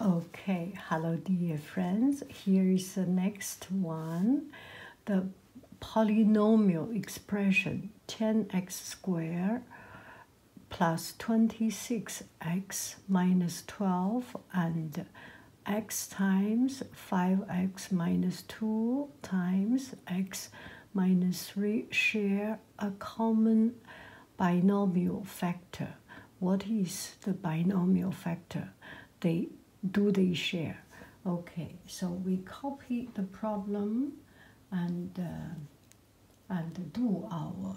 Okay, hello dear friends. Here is the next one. The polynomial expression 10x squared plus 26x minus 12 and x times 5x minus 2 times x minus 3 share a common binomial factor. What is the binomial factor? They do they share? Okay, so we copy the problem and uh, and do our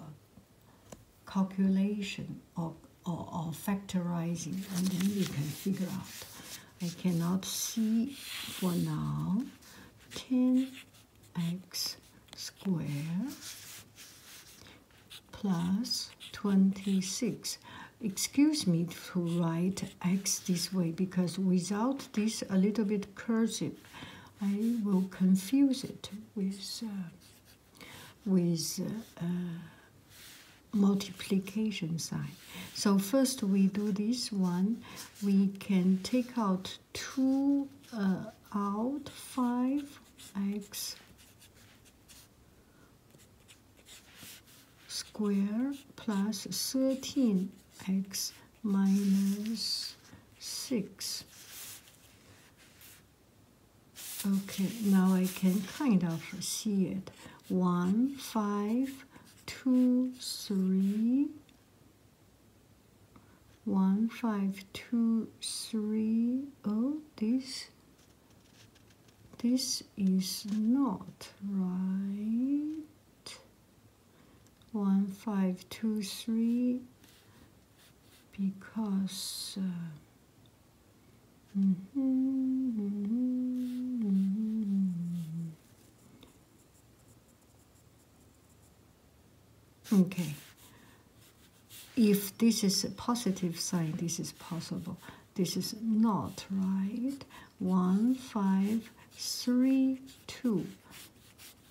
calculation of or, or factorizing and then we can figure out. I cannot see for now 10x square plus 26. Excuse me to write x this way because without this a little bit cursive, I will confuse it with, uh, with uh, uh, multiplication sign. So first we do this one. We can take out 2 uh, out 5x squared plus 13x minus 6. Okay, now I can kind of see it. 1, 5, 2, 3, Oh, this this is not right one five two three because uh, mm -hmm, Okay. If this is a positive sign, this is possible. This is not right. One, five, three, two.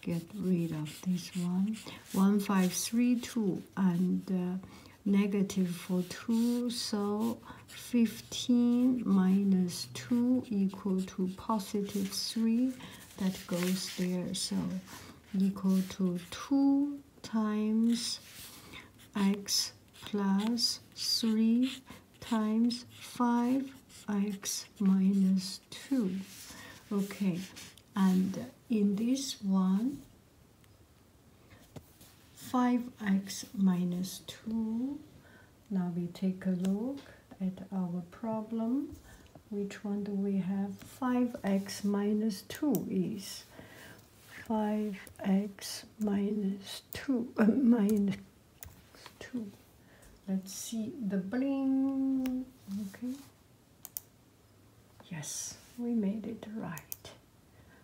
Get rid of this one. One, five, three, two, and uh, negative for two. So fifteen minus two equal to positive three. That goes there. So equal to 2 times x plus 3 times 5x minus 2. Okay, and in this one, 5x minus 2. Now we take a look at our problem which one do we have? 5x minus 2 is 5x minus 2, uh, 2. Let's see the bling. Okay. Yes, we made it right.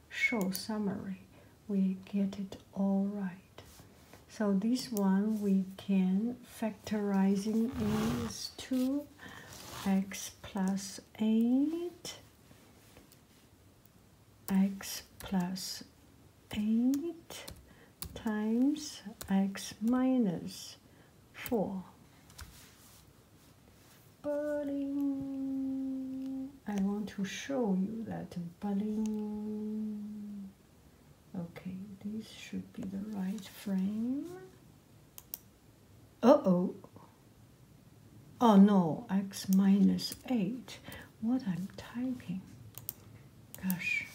Show summary. We get it all right. So this one we can factorizing is 2x plus 8 x plus 8 times x minus 4. Budding. I want to show you that budding. Okay, this should be the right frame. Oh oh Oh no, x minus 8. What I'm typing. Gosh.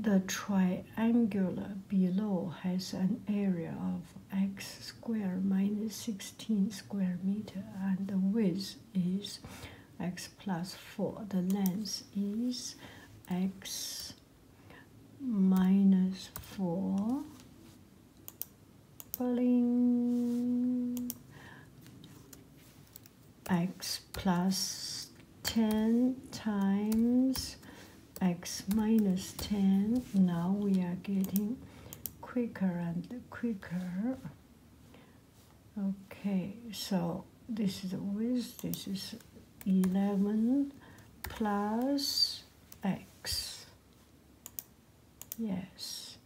The triangular below has an area of x squared minus 16 square meter and the width is x 4. The length is x minus 4. Bling. x plus 10 times x minus 10. Now we are getting quicker and quicker. Okay, so this is the width, this is 11 plus x. Yes.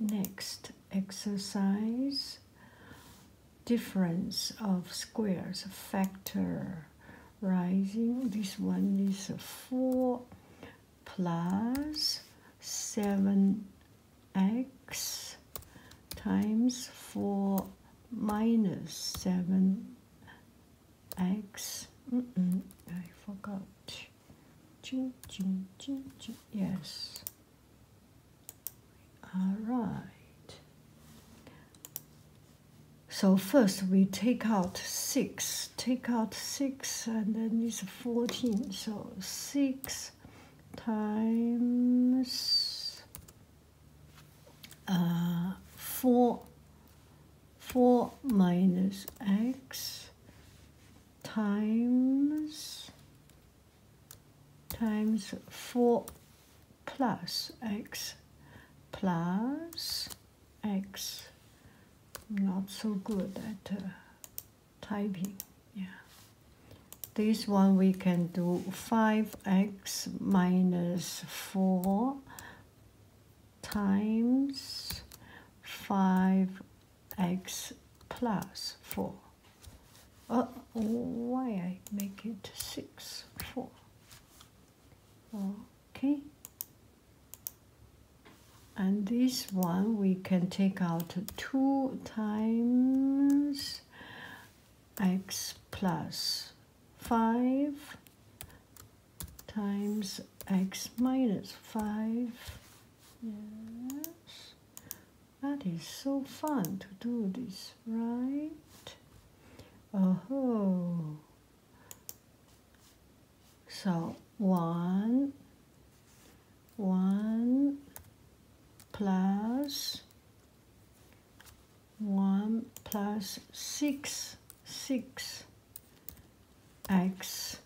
Next exercise, difference of squares factor rising. This one is 4 plus 7 x times 4 minus 7 x. Mm -mm, I forgot. Yes. All right. So first we take out 6. Take out 6 and then it's 14. So 6 times uh, 4 4 minus x times times 4 plus x plus x not so good at uh, typing yeah this one we can do 5x minus 4 times 5x plus 4 uh, why I make it 6 4 okay and this one we can take out 2 times x plus 5 times x minus 5. Yes, that is so fun to do this, right? Oh, so 1 1 plus 1 plus 6, 6 x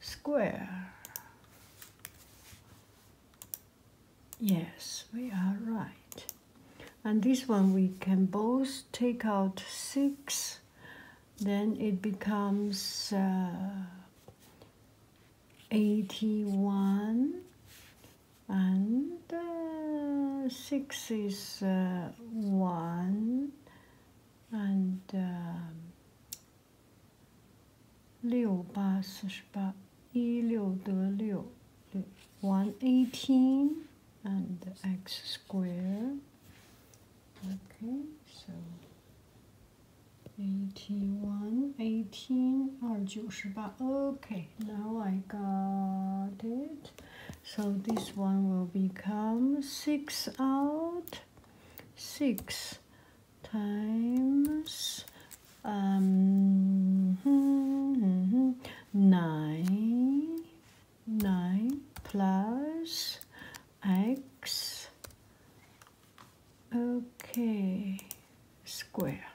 square. Yes, we are right. And this one we can both take out 6, then it becomes uh, 81 and uh, 6 is uh, 1 and uh, um, 六八四十八，一六得六，one eighteen and x square. Okay, so 81, 18 or 98. Okay, now I got it. So this one will become 6 out 6 times um, 9, 9 plus x Okay, square.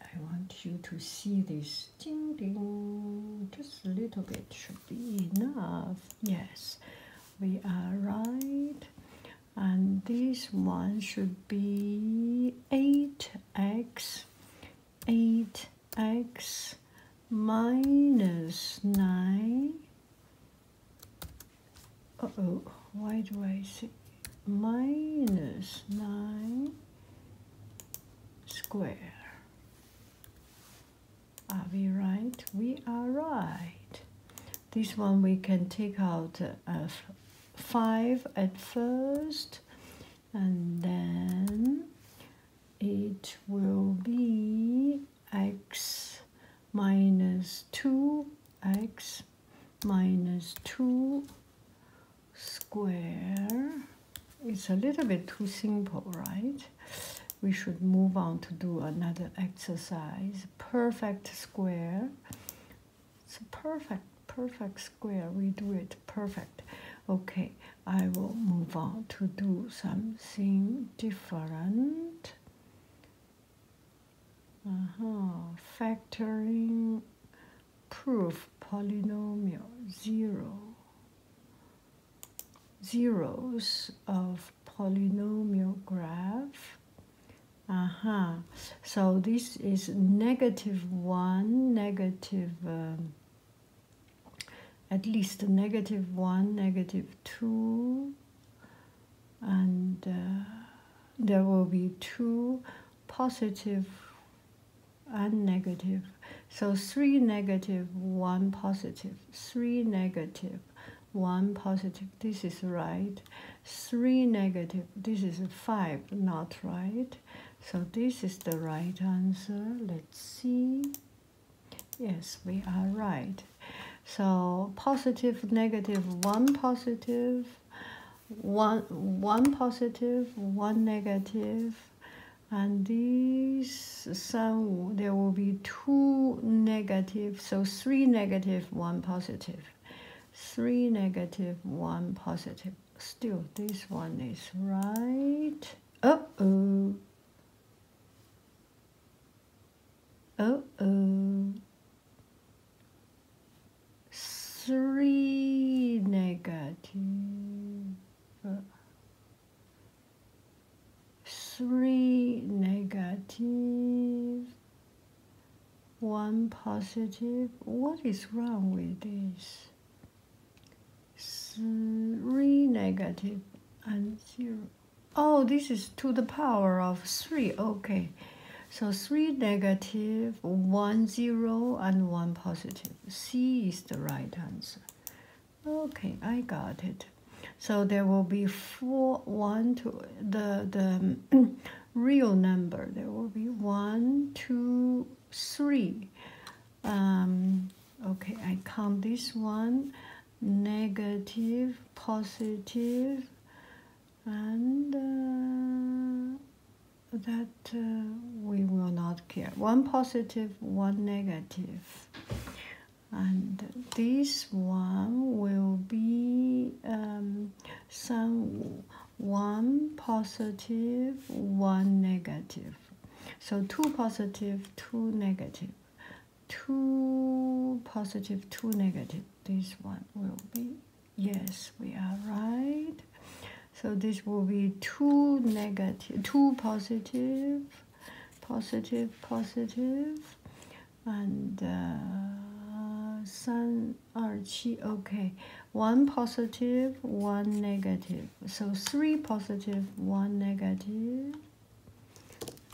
I want you to see this ding ding just a little bit should be enough. Yes, we are right. And this one should be 8x, 8x, minus 9. oh why do I say minus 9 square? Are we right? We are right. This one we can take out uh, 5 at first and then it will be x minus 2 x minus 2 square it's a little bit too simple right we should move on to do another exercise perfect square it's a perfect perfect square we do it perfect okay I will move on to do something different. Uh -huh. Factoring proof polynomial zero. Zeros of polynomial graph. Uh huh. So this is negative one, negative, um, at least negative one, negative two, and uh, there will be two positive and negative. So three negative, one positive, three negative, one positive. This is right. Three negative. This is five, not right. So this is the right answer. Let's see. Yes, we are right. So positive, negative, one positive, one, one positive, one negative, and these some there will be two negative, so three negative, one positive, three negative, one positive. Still, this one is right. oh. Oh, Three One positive. What is wrong with this? 3 negative and 0. Oh, this is to the power of 3. Okay. So 3 one zero and 1 positive. C is the right answer. Okay, I got it. So there will be four one two the, the real number. There will be one two three um, okay I count this one negative positive and uh, that uh, we will not care one positive one negative and this one will be um, some one positive one negative so 2 positive, 2 2 positive, 2 negative. This one will be, yes, we are right. So this will be 2 negative, 2 positive, positive, And uh, okay. 1 positive, 1 negative. So three positive, one negative.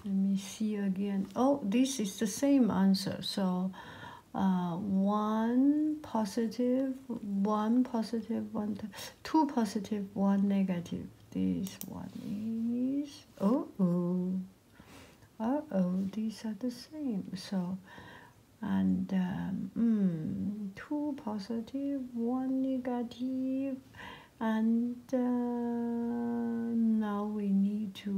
Let me see again. Oh, this is the same answer. So uh, one positive, one positive, one, two positive, one negative. This one is, oh, oh, uh oh, these are the same. So, and, um, hmm two positive, one negative, and uh, now we need to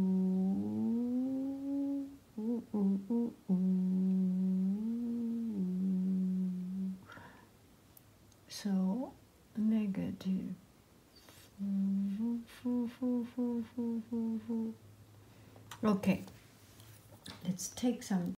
so negative. Okay, let's take some